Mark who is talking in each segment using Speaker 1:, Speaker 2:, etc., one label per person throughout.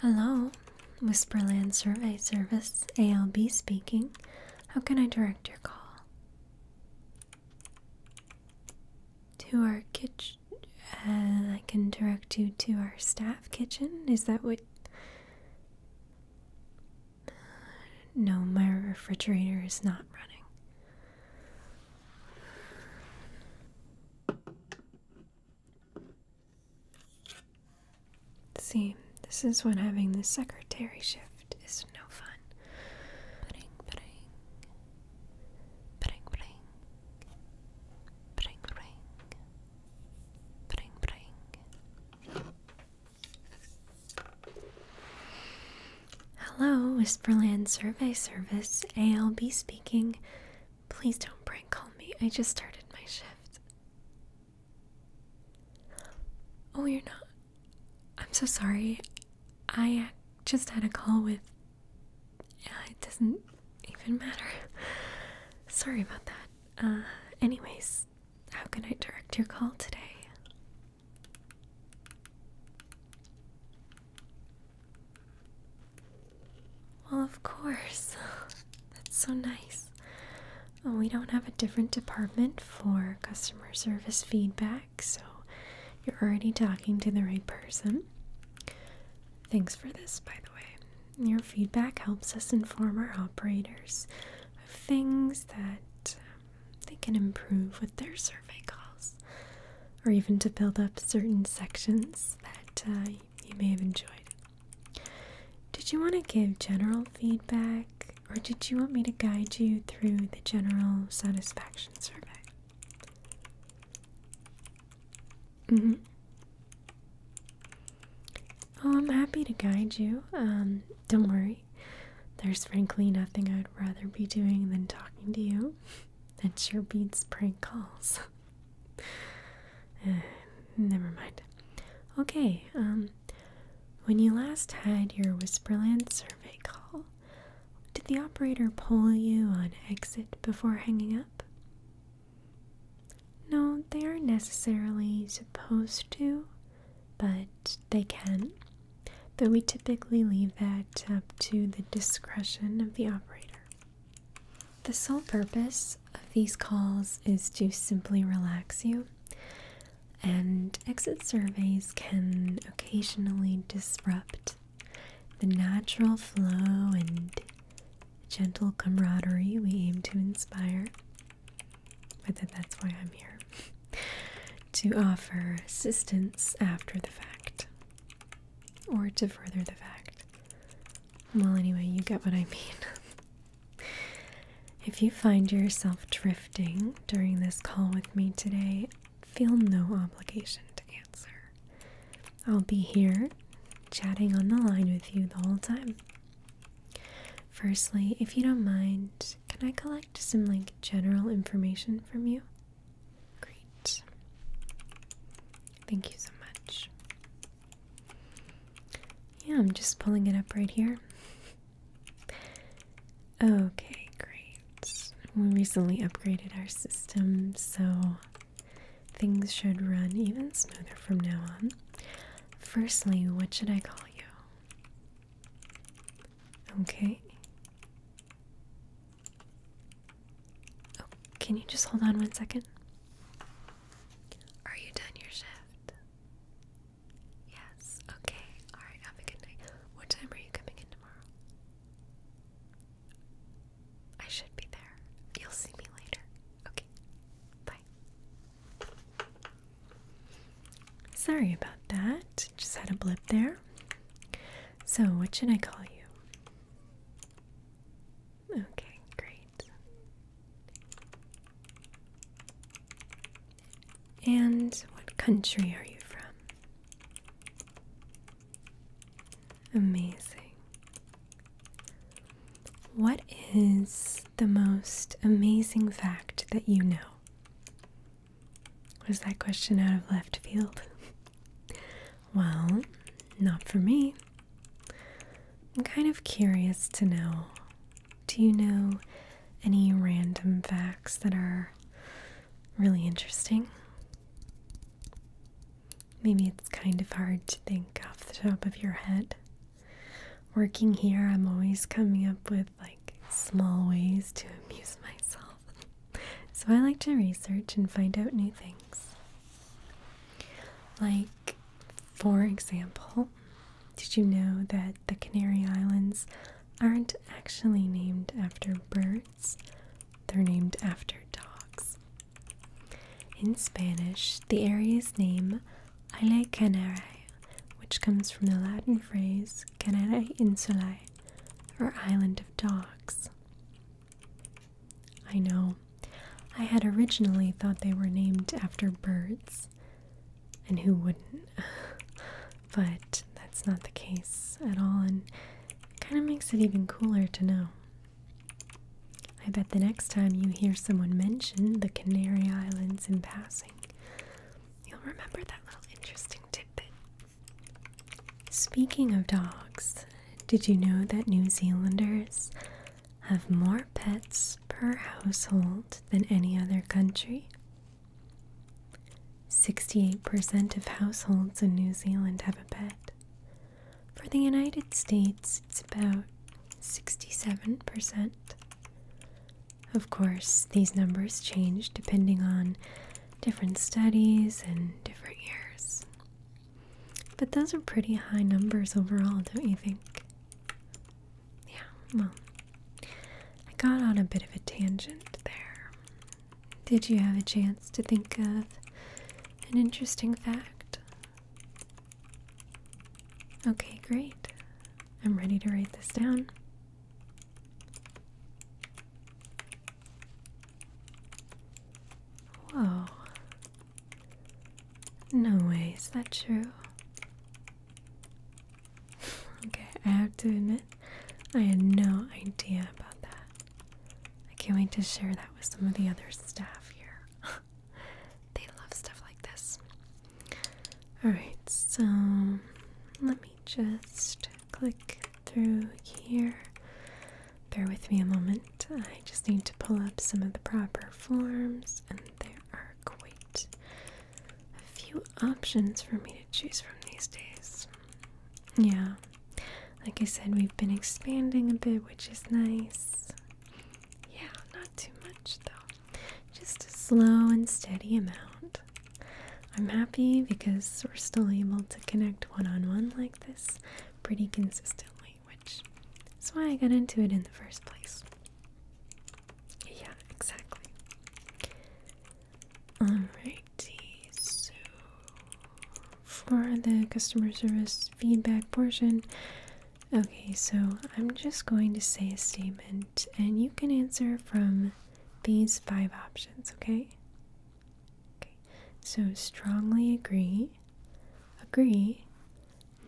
Speaker 1: Hello, Whisperland Survey Service, ALB speaking. How can I direct your call? To our kitchen. Uh, I can direct you to our staff kitchen. Is that what? No, my refrigerator is not running. See, this is what having the secretary ship drift no fun. Hello, Whisperland Survey Service, ALB speaking. Please don't prank call me. I just started my shift. Oh, you're not. I'm so sorry. I just had a call with. it doesn't even matter. Sorry about that. Uh, anyways, how can I direct your call today? Well, of course. That's so nice. Oh, We don't have a different department for customer service feedback so you're already talking to the right person. Thanks for this, by the way. Your feedback helps us inform our operators of things that um, they can improve with their survey calls, or even to build up certain sections that uh, you may have enjoyed. Did you want to give general feedback or did you want me to guide you through the general satisfaction survey? Oh, I'm happy to guide you. Um, don't worry. There's frankly nothing I'd rather be doing than talking to you. That sure beats prank calls. Eh, never mind. Okay, um, when you last had your Whisperland survey call, did the operator pull you on exit before hanging up? No, they aren't necessarily supposed to, but they can. Though we typically leave that up to the discretion of the operator. The sole purpose of these calls is to simply relax you and exit surveys can occasionally disrupt the natural flow and gentle camaraderie we aim to inspire. But that's why I'm here to offer assistance after the fact or to further the fact. Well, anyway, you get what I mean. If you find yourself drifting during this call with me today, feel no obligation to answer. I'll be here chatting on the line with you the whole time. Firstly, if you don't mind, can I collect some like general information from you? Great. Thank you so much. Yeah, I'm just pulling it up right here. Okay, great. We recently upgraded our system, so things should run even smoother from now on. Firstly, what should I call you? Okay. Oh, can you just hold on one second? Are you done your shift? Yes, okay. Alright, have a good night. What time are you coming in tomorrow? I should be there. You'll see me later. Okay, bye. Sorry about that. Just had a blip there. So, what should I call you? Okay, great. And what country are you from? Amazing. What is the most amazing fact that you know? Was that question out of left field? well, not for me. I'm kind of curious to know do you know any random facts that are really interesting? Maybe it's kind of hard to think off the top of your head. Working here, I'm always coming up with like small ways to amuse myself. so I like to research and find out new things. Like, for example, did you know that the Canary Islands aren't actually named after birds? They're named after dogs. In Spanish, the area's name, named Isla which comes from the Latin phrase Canare Insulae, or Island of Dogs. I know. I had originally thought they were named after birds, and who wouldn't? but that's not the case at all, and it kind of makes it even cooler to know. I bet the next time you hear someone mention the Canary Islands in passing, you'll remember that little interesting tidbit. Speaking of dogs, did you know that New Zealanders have more pets per household than any other country? 68% of households in New Zealand have a pet. For the United States, it's about 67%. Of course, these numbers change depending on different studies and different years. But those are pretty high numbers overall, don't you think? Yeah, well, I got on a bit of a tangent there. Did you have a chance to think of an interesting fact? Okay, great. I'm ready to write this down. Whoa. No way, is that true? okay, I have to admit, I had no idea about that. I can't wait to share that with some of the other staff here. they love stuff like this. Alright, so let me just click through here. Bear with me a moment. I just need to pull up some of the proper forms, and there are quite a few options for me to choose from these days. Yeah, like I said, we've been expanding a bit, which is nice. Yeah, not too much though, just a slow and steady amount. I'm happy because we're still able to connect one on one like this pretty consistently, which is why I got into it in the first place. Yeah, exactly. Alrighty, so for the customer service feedback portion, okay, so I'm just going to say a statement and you can answer from these five options, okay? Okay, so strongly agree, agree,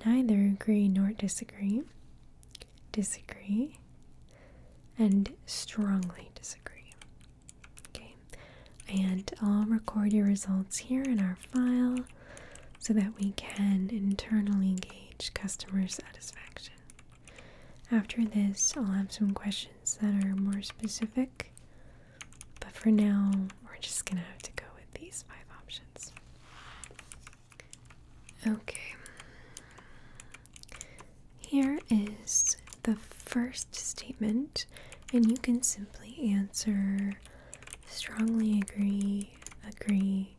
Speaker 1: neither agree nor disagree, disagree, and strongly disagree. Okay, and I'll record your results here in our file so that we can internally gauge customer satisfaction. After this, I'll have some questions that are more specific, but for now, we're just gonna have to go with these five options. Okay. Here is the first statement, and you can simply answer strongly agree, agree,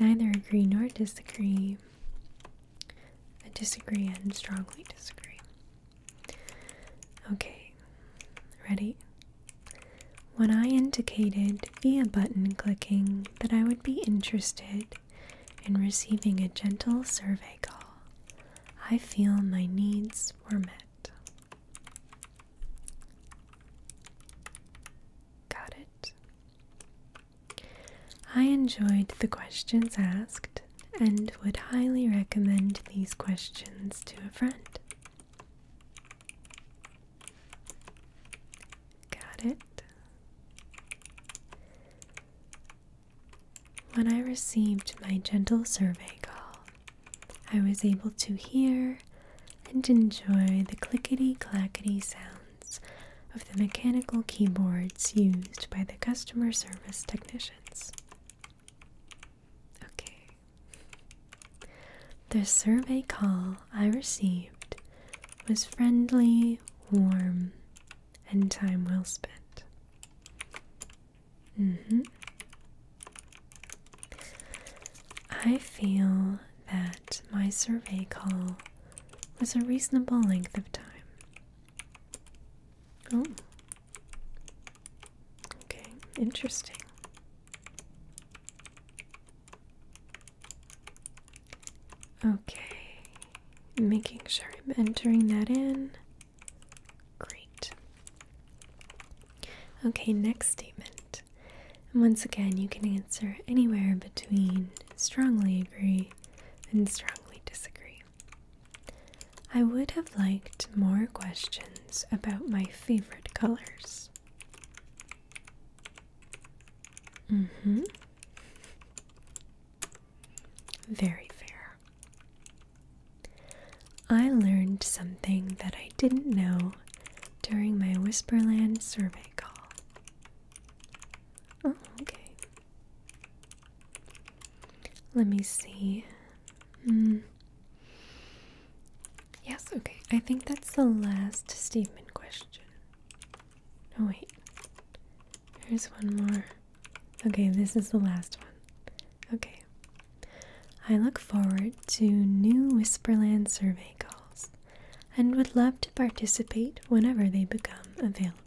Speaker 1: neither agree nor disagree, disagree, and strongly disagree. Okay, ready? When I indicated via button clicking that I would be interested in receiving a gentle survey call, I feel my needs were met. Got it. I enjoyed the questions asked and would highly recommend these questions to a friend. Got it. When I received my gentle survey call, I was able to hear and enjoy the clickety clackety sounds of the mechanical keyboards used by the customer service technicians. Okay. The survey call I received was friendly, warm, and time well spent. Mm hmm. I feel that my survey call was a reasonable length of time. Oh. Okay, interesting. Okay, making sure I'm entering that in. Great. Okay, next statement. And once again, you can answer anywhere between strongly agree and strongly disagree. I would have liked more questions about my favorite colors. Mm hmm. Very fair. I learned something that I didn't know during my Whisperland survey call. Oh, okay. Let me see. Mm. Yes, okay. I think that's the last statement question. Oh wait. There's one more. Okay, this is the last one. Okay. I look forward to new Whisperland survey calls and would love to participate whenever they become available.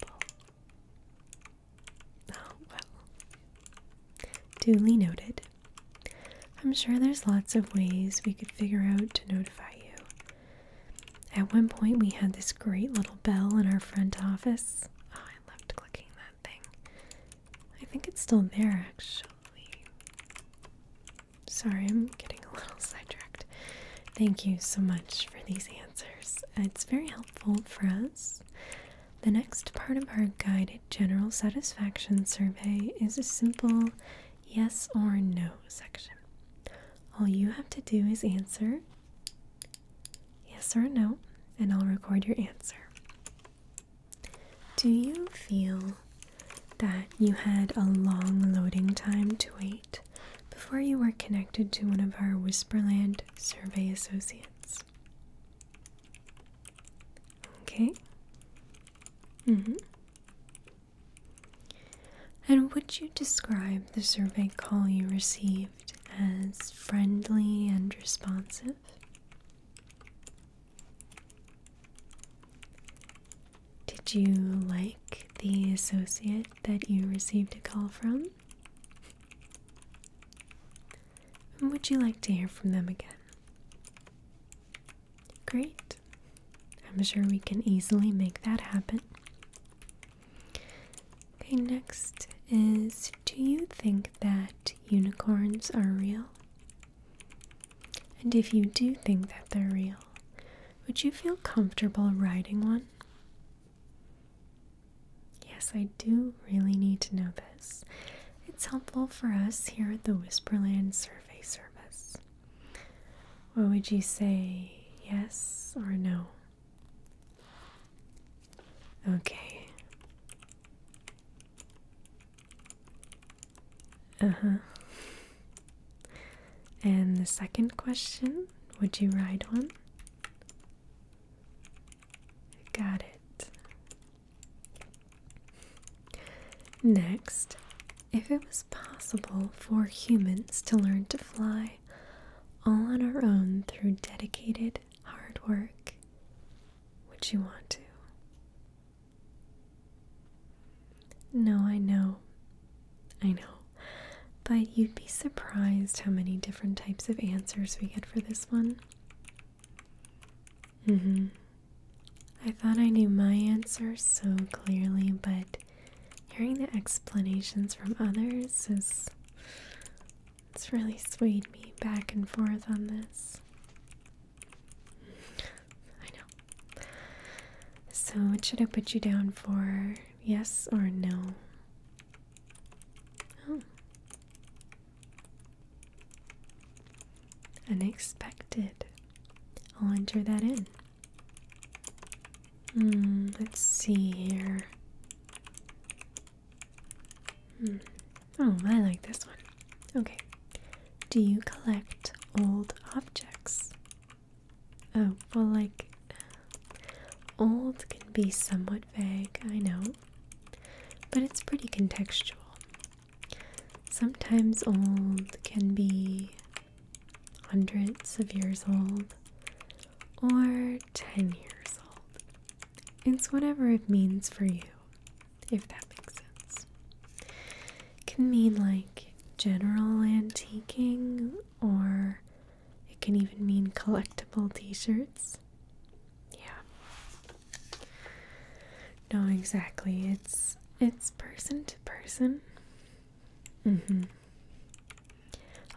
Speaker 1: Oh, well. Duly noted. I'm sure there's lots of ways we could figure out to notify you, at one point, we had this great little bell in our front office. Oh, I loved clicking that thing. I think it's still there, actually. Sorry, I'm getting a little sidetracked. Thank you so much for these answers. It's very helpful for us. The next part of our guided general satisfaction survey is a simple yes or no section all you have to do is answer yes or no, and I'll record your answer. Do you feel that you had a long loading time to wait before you were connected to one of our Whisperland survey associates? Okay. hmm. And would you describe the survey call you received as friendly and responsive? Did you like the associate that you received a call from? would you like to hear from them again? Great. I'm sure we can easily make that happen. Okay, next is Do you think that unicorns are real? And if you do think that they're real, would you feel comfortable riding one? Yes, I do really need to know this. It's helpful for us here at the Whisperland Survey Service. What would you say, yes or no? Okay. Uh huh. And the second question would you ride one? Got it. Next, if it was possible for humans to learn to fly all on our own through dedicated hard work, would you want to? No, I know. I know. But you'd be surprised how many different types of answers we get for this one. hmm. I thought I knew my answer so clearly, but hearing the explanations from others has it's really swayed me back and forth on this. I know. So, what should I put you down for? Yes or no? Oh. Unexpected. I'll enter that in. Hmm, let's see here. Hmm. Oh, I like this one. Okay. Do you collect old objects? Oh, well, like, old can be somewhat vague, I know, but it's pretty contextual. Sometimes old can be hundreds of years old, or 10 years old. It's whatever it means for you, if that makes sense. It can mean like general antiquing, or it can even mean collectible t shirts. Yeah. No, exactly. It's it's person to person. Mm-hmm.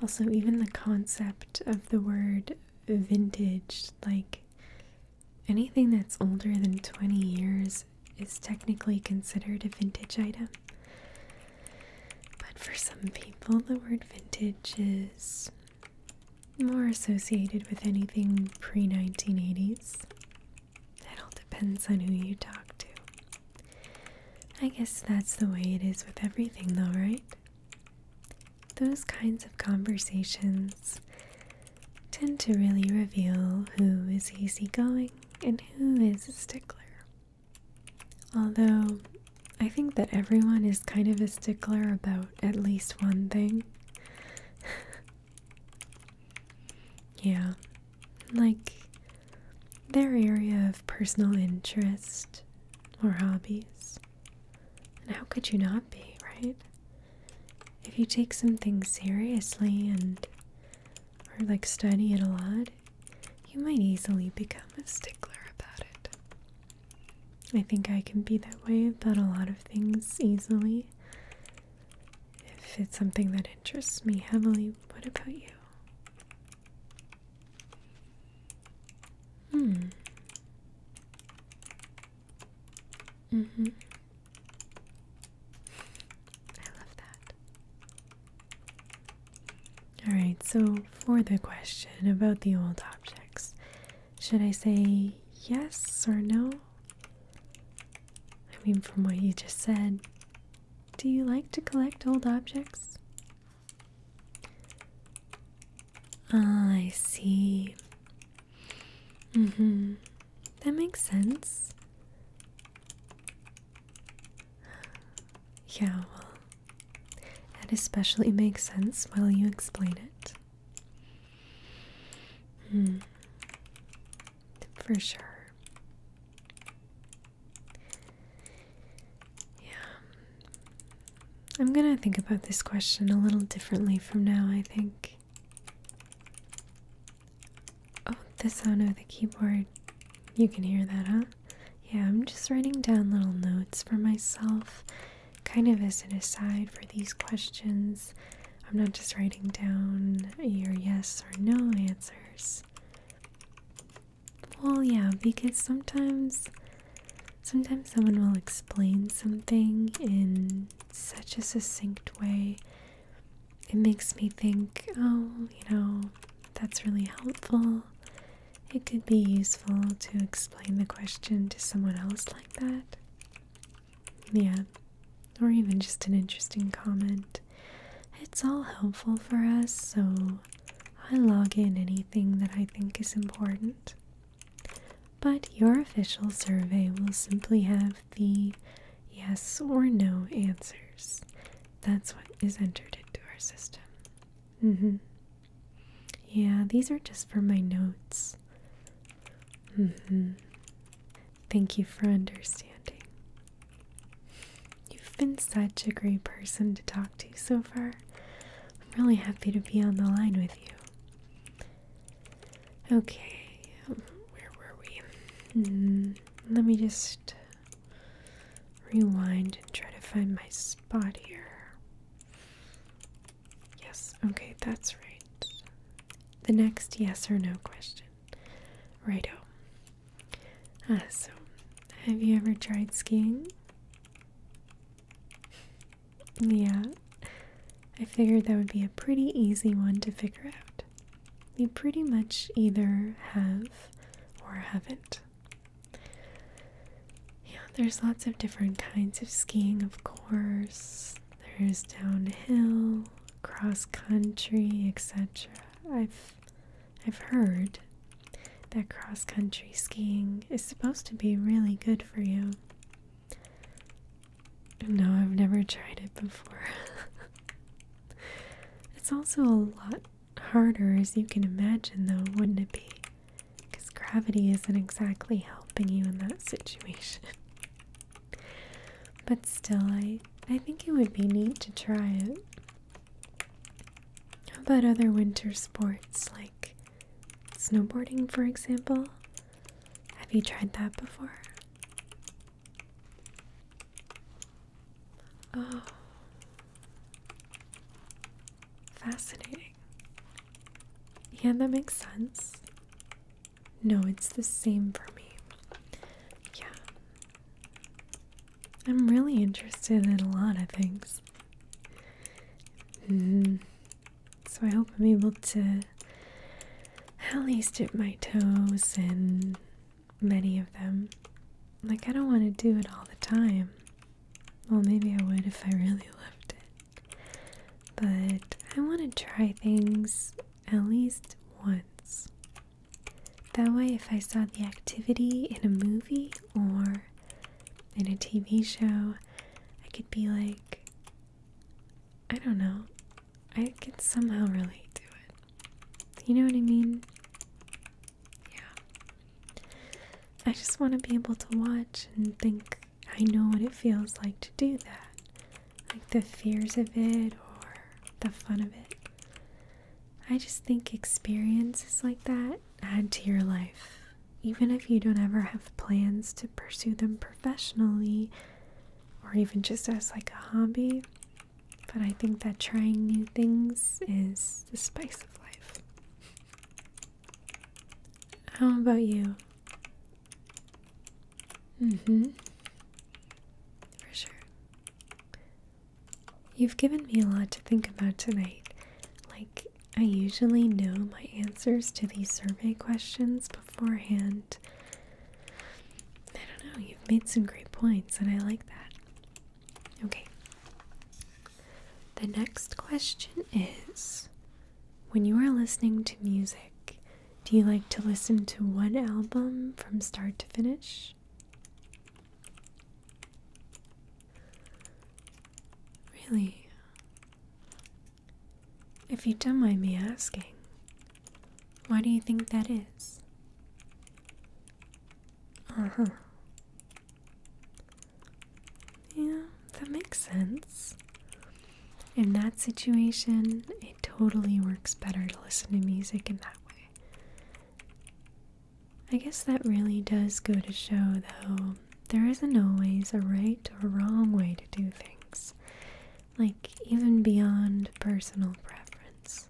Speaker 1: Also, even the concept of the word vintage, like anything that's older than 20 years, is technically considered a vintage item. But for some people, the word vintage is more associated with anything pre 1980s. It all depends on who you talk to. I guess that's the way it is with everything, though, right? Those kinds of conversations tend to really reveal who is easygoing and who is a stickler. Although, I think that everyone is kind of a stickler about at least one thing. Yeah, like their area of personal interest or hobbies. And how could you not be, right? If you take something seriously and or like study it a lot, you might easily become a stickler about it. I think I can be that way about a lot of things easily. If it's something that interests me heavily, what about you? Hmm. Mm-hmm. I love that. Alright, so for the question about the old objects, should I say yes or no? I mean, from what you just said, do you like to collect old objects? Ah, I see. Mm-hmm. That makes sense. Yeah, well, that especially makes sense while you explain it. Hmm for sure. Yeah. I'm gonna think about this question a little differently from now, I think. Oh, the sound of the keyboard. You can hear that, huh? Yeah, I'm just writing down little notes for myself, kind of as an aside for these questions, I'm not just writing down your yes or no answers. Well, yeah, because sometimes sometimes someone will explain something in such a succinct way. It makes me think, oh, you know, that's really helpful. It could be useful to explain the question to someone else like that. Yeah, or even just an interesting comment. It's all helpful for us, so I log in anything that I think is important. But your official survey will simply have the yes or no answers. That's what is entered into our system. Mm-hmm. Yeah, these are just for my notes. Mm-hmm. Thank you for understanding. You've been such a great person to talk to so far. I'm really happy to be on the line with you. Okay, where were we? Hmm, let me just rewind and try to find my spot here. Yes, okay, that's right the next yes or no question. Righto. Ah, so, have you ever tried skiing? Yeah, I figured that would be a pretty easy one to figure out. You pretty much either have or haven't. Yeah, there's lots of different kinds of skiing, of course. There's downhill, cross country, etc. I've I've heard that cross country skiing is supposed to be really good for you. No, I've never tried it before. it's also a lot harder, as you can imagine, though, wouldn't it be? Because gravity isn't exactly helping you in that situation. But still, I, I think it would be neat to try it. How about other winter sports like snowboarding, for example? Have you tried that before? Oh, fascinating. Yeah, that makes sense. No, it's the same for me. Yeah. I'm really interested in a lot of things. Mm-hmm. So I hope I'm able to at least dip my toes in many of them. Like, I don't want to do it all the time. Well, maybe I would if I really loved it. But I want to try things at least once. That way, if I saw the activity in a movie or in a TV show, I could be like, I don't know, I could somehow relate to it. You know what I mean? Yeah. I just want to be able to watch and think, I know what it feels like to do that like the fears of it or the fun of it. I just think experiences like that add to your life. Even if you don't ever have plans to pursue them professionally or even just as like a hobby, but I think that trying new things is the spice of life. How about you? Mm-hmm. For sure. You've given me a lot to think about tonight. Like, I usually know my answers to these survey questions beforehand. I don't know, you've made some great points, and I like that. Okay. The next question is When you are listening to music, do you like to listen to one album from start to finish? Really? If you don't mind me asking, why do you think that is? Uh huh. Yeah, that makes sense in that situation, it totally works better to listen to music in that way. I guess that really does go to show, though, there isn't always a right or wrong way to do things. Like, even beyond personal preference,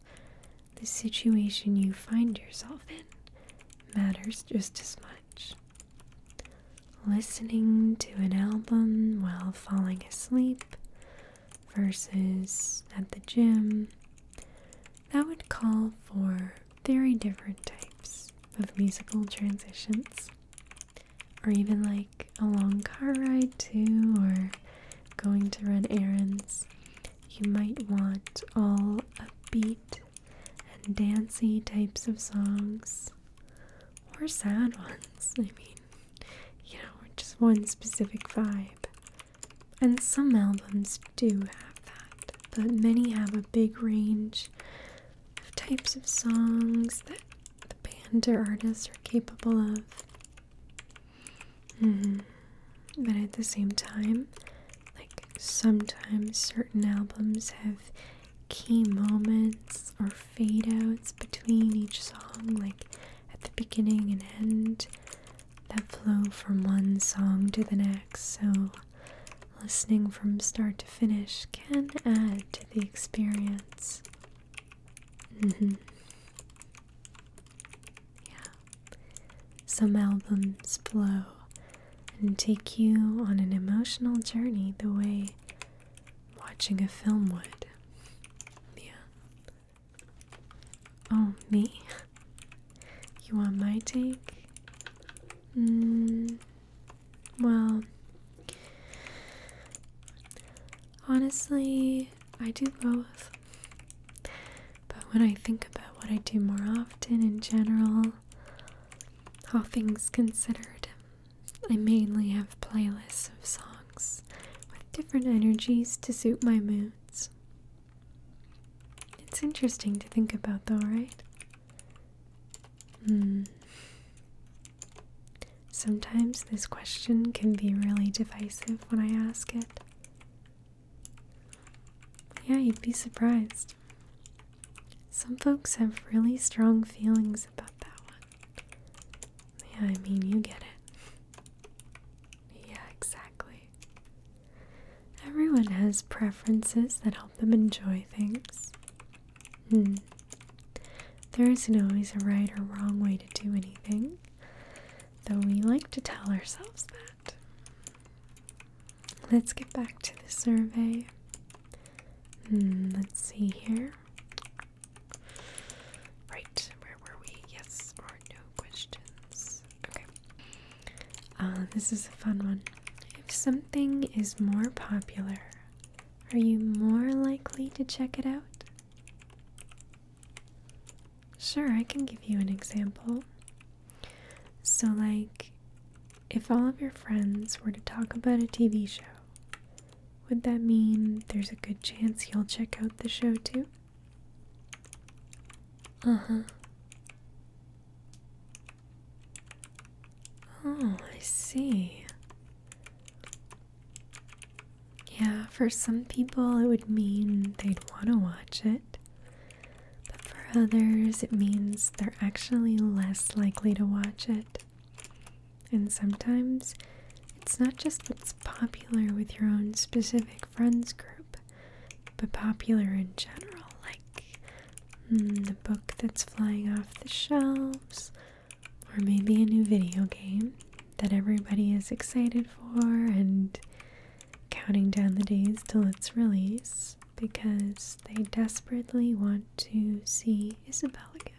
Speaker 1: the situation you find yourself in matters just as much. Listening to an album while falling asleep, versus at the gym, that would call for very different types of musical transitions. Or even like a long car ride, too, or going to run errands. You might want all upbeat and dancey types of songs, or sad ones. I mean, you know, just one specific vibe. And some albums do have that, but many have a big range of types of songs that the band or artist are capable of. Mm-hmm. But at the same time, like sometimes certain albums have key moments or fade outs between each song, like at the beginning and end, that flow from one song to the next. So, listening from start to finish can add to the experience. Mm-hmm. Yeah. Some albums flow and take you on an emotional journey the way watching a film would. Yeah. Oh, me? You want my take? Mm, well, honestly, I do both. But when I think about what I do more often in general, all things considered, I mainly have playlists of songs with different energies to suit my moods. It's interesting to think about, though, right? Hmm. Sometimes this question can be really divisive when I ask it. Yeah, you'd be surprised. Some folks have really strong feelings about that one. Yeah, I mean, you get it. Yeah, exactly. Everyone has preferences that help them enjoy things. Hmm. There isn't always a right or wrong way to do anything, though we like to tell ourselves that. Let's get back to the survey. Hmm, let's see here. Right, where were we? Yes or no questions. Okay. Uh, this is a fun one. If something is more popular, are you more likely to check it out? Sure, I can give you an example. So, like, if all of your friends were to talk about a TV show, would that mean there's a good chance you'll check out the show too? Uh huh. Oh, I see. Yeah, for some people it would mean they'd want to watch it, but for others it means they're actually less likely to watch it. And sometimes it's not just what's popular with your own specific friends group, but popular in general, like hmm, the book that's flying off the shelves, or maybe a new video game that everybody is excited for and counting down the days till its release because they desperately want to see Isabel again.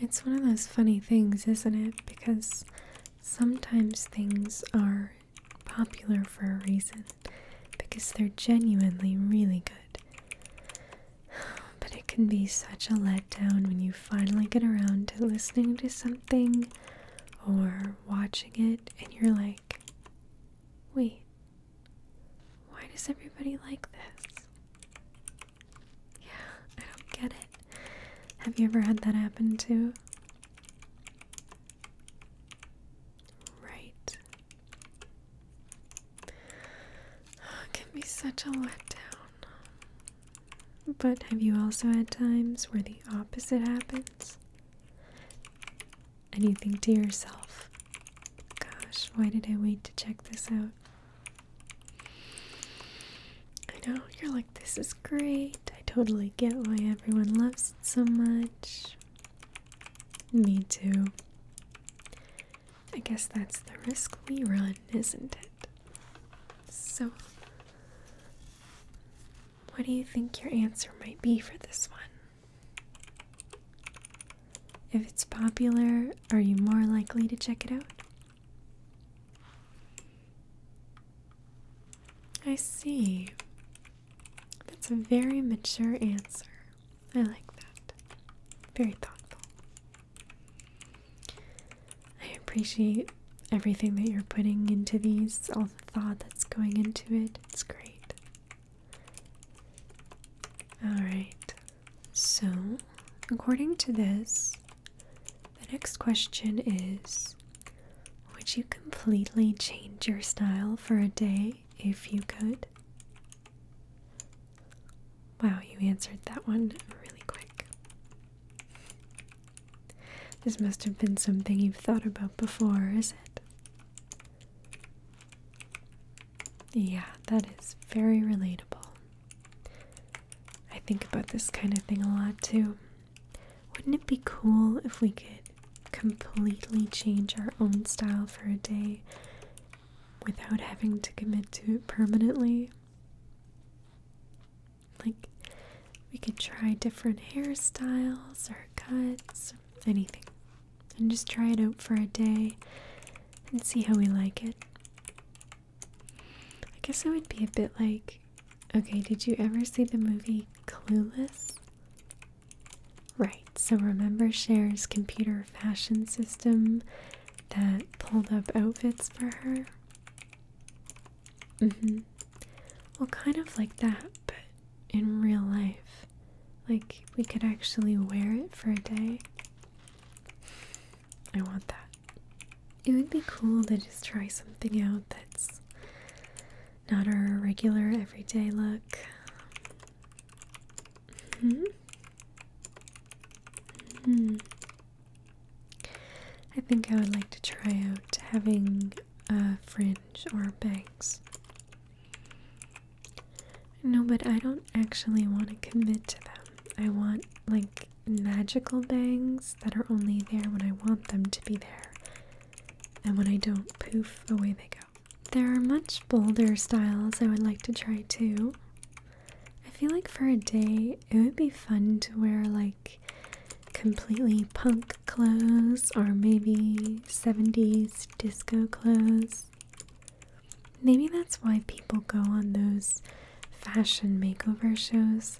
Speaker 1: It's one of those funny things, isn't it? Because sometimes things are popular for a reason because they're genuinely really good. But it can be such a letdown when you finally get around to listening to something or watching it and you're like, wait, why does everybody like this? Yeah, I don't get it. Have you ever had that happen too? Right. Oh, can be such a letdown. But have you also had times where the opposite happens? And you think to yourself, gosh, why did I wait to check this out? I know, you're like, this is great. I totally get why everyone loves it so much. Me too. I guess that's the risk we run, isn't it? So, what do you think your answer might be for this one? If it's popular, are you more likely to check it out? I see. That's a very mature answer. I like that. Very thoughtful. I appreciate everything that you're putting into these, all the thought that's going into it. It's great. Alright, so, according to this, the next question is Would you completely change your style for a day if you could? Wow, you answered that one really quick. This must have been something you've thought about before, is it? Yeah, that is very relatable. I think about this kind of thing a lot too. Wouldn't it be cool if we could completely change our own style for a day without having to commit to it permanently? Like, we could try different hairstyles or cuts, anything and just try it out for a day and see how we like it. I guess it would be a bit like okay, did you ever see the movie Clueless? Right, so remember Cher's computer fashion system that pulled up outfits for her? Mm hmm. Well, kind of like that, but in real life. Like, we could actually wear it for a day. I want that. It would be cool to just try something out that's not our regular everyday look. -hmm. -hmm. I think I would like to try out having a fringe or bangs. No, but I don't actually want to commit to them. I want, like, magical bangs that are only there when I want them to be there. And when I don't, poof, away they go. There are much bolder styles I would like to try too. I feel like for a day, it would be fun to wear, like, completely punk clothes or maybe 70s disco clothes. Maybe that's why people go on those fashion makeover shows.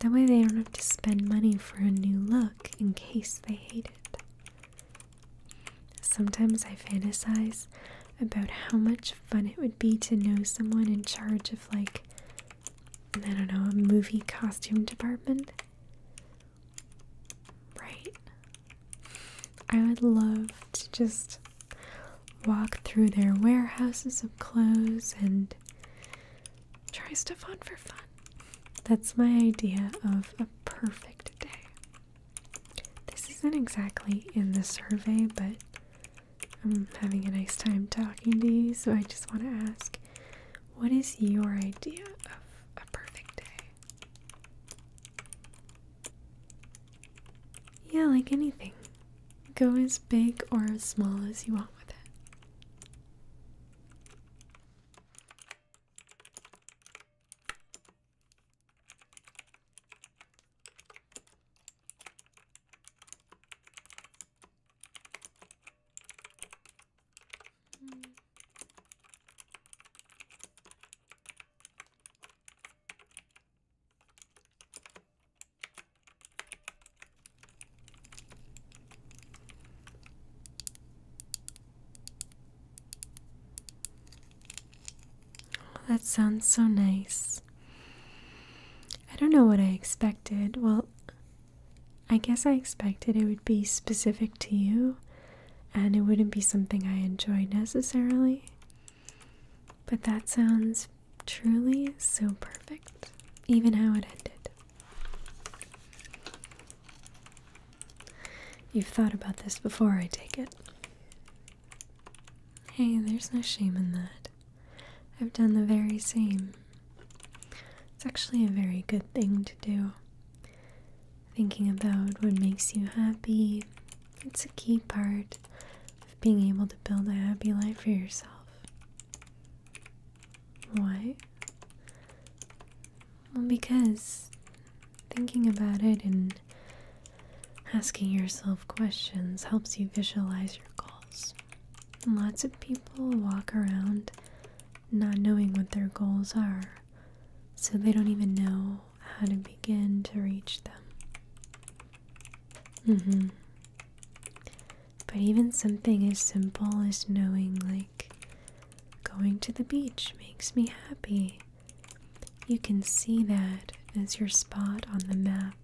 Speaker 1: That way they don't have to spend money for a new look in case they hate it. Sometimes I fantasize about how much fun it would be to know someone in charge of, like, I don't know, a movie costume department. Right? I would love to just walk through their warehouses of clothes and try stuff on for fun. That's my idea of a perfect day. This isn't exactly in the survey, but I'm having a nice time talking to you, so I just want to ask what is your idea of a perfect day? Yeah, like anything. Go as big or as small as you want with it. Oh, that sounds so nice. I don't know what I expected. Well, I guess I expected it would be specific to you and it wouldn't be something I enjoy necessarily. But that sounds truly so perfect, even how it ended. You've thought about this before, I take it. Hey, there's no shame in that. I've done the very same. It's actually a very good thing to do. Thinking about what makes you happy, it's a key part of being able to build a happy life for yourself. Why? Well, because thinking about it and asking yourself questions helps you visualize your goals. And Lots of people walk around not knowing what their goals are, so they don't even know how to begin to reach them. Mm-hmm. But even something as simple as knowing, like, going to the beach makes me happy. You can see that as your spot on the map.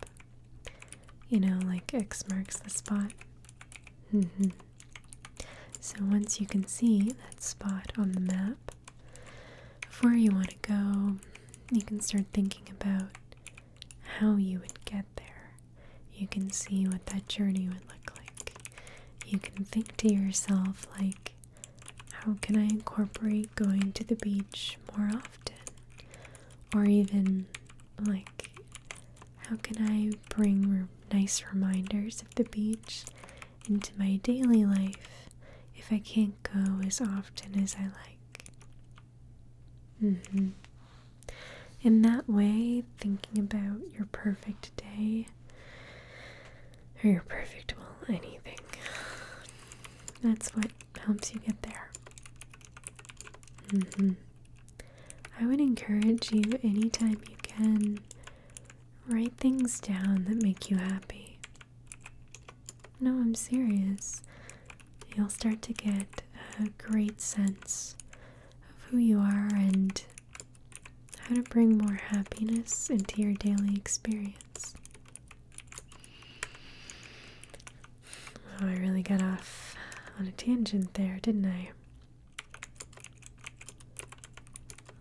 Speaker 1: You know, like X marks the spot. Mm-hmm. So once you can see that spot on the map, of where you want to go, you can start thinking about how you would get there. You can see what that journey would look like. You can think to yourself, like, how can I incorporate going to the beach more often? Or even, like, how can I bring nice reminders of the beach into my daily life if I can't go as often as I like. Mm-hmm. In that way, thinking about your perfect day or your perfect, well, anything, that's what helps you get there. Mm-hmm. I would encourage you anytime you can, write things down that make you happy. No, I'm serious. You'll start to get a great sense of who you are and how to bring more happiness into your daily experience. Oh, I really got off on a tangent there, didn't I?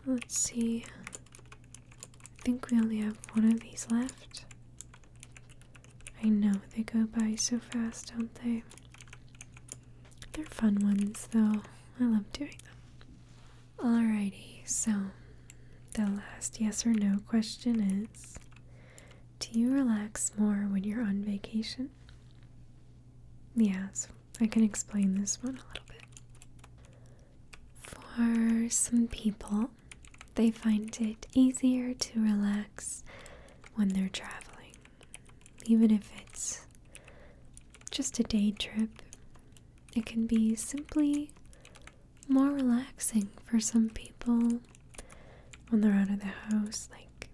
Speaker 1: Let's see. I think we only have one of these left. I know, they go by so fast, don't they? They're fun ones, though. I love doing them. Alrighty, so the last yes or no question is Do you relax more when you're on vacation? Yes, yeah, so I can explain this one a little bit. For some people, they find it easier to relax when they're traveling, even if it's just a day trip. It can be simply more relaxing for some people when they're out of the house, like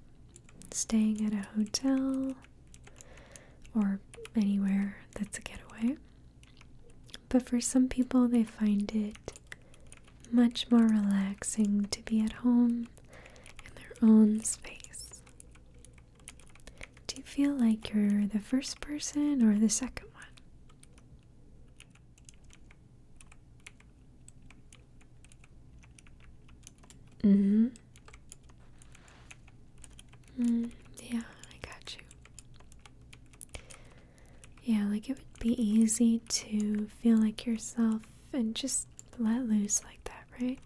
Speaker 1: staying at a hotel or anywhere that's a getaway. But for some people, they find it much more relaxing to be at home in their own space. Do you feel like you're the first person or the second one? Mm hmm. Mm, yeah, I got you. Yeah, like it would be easy to feel like yourself and just let loose like that, right?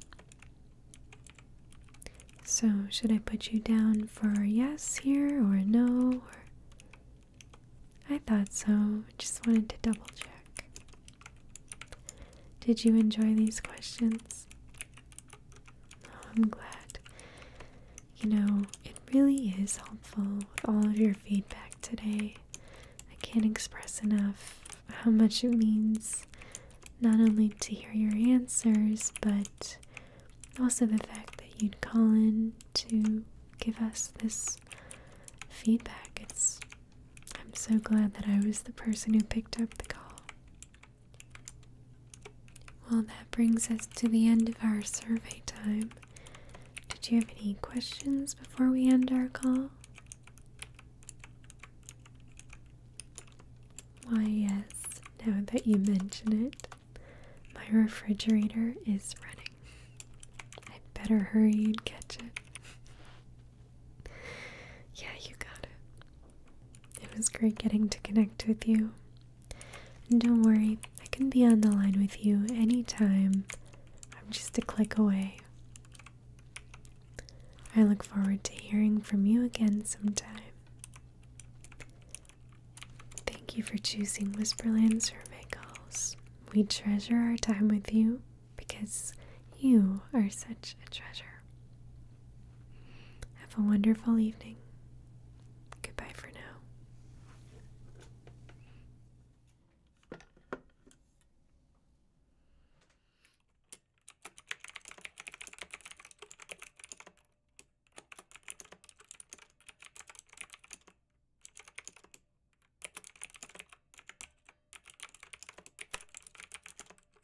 Speaker 1: So, should I put you down for yes here or no? I thought so. Just wanted to double check. Did you enjoy these questions? Oh, I'm glad. You know, it really is helpful with all of your feedback today. I can't express enough how much it means not only to hear your answers, but also the fact that you'd call in to give us this feedback. It's I'm so glad that I was the person who picked up the call. Well, that brings us to the end of our survey time. Did you have any questions before we end our call? Why, yes, now that you mention it, my refrigerator is running. i better hurry and catch it. yeah, you got it. It was great getting to connect with you. And don't worry, I can be on the line with you anytime. I'm just a click away. I look forward to hearing from you again sometime. Thank you for choosing Whisperland Survey Calls. We treasure our time with you because you are such a treasure. Have a wonderful evening. Goodbye for now.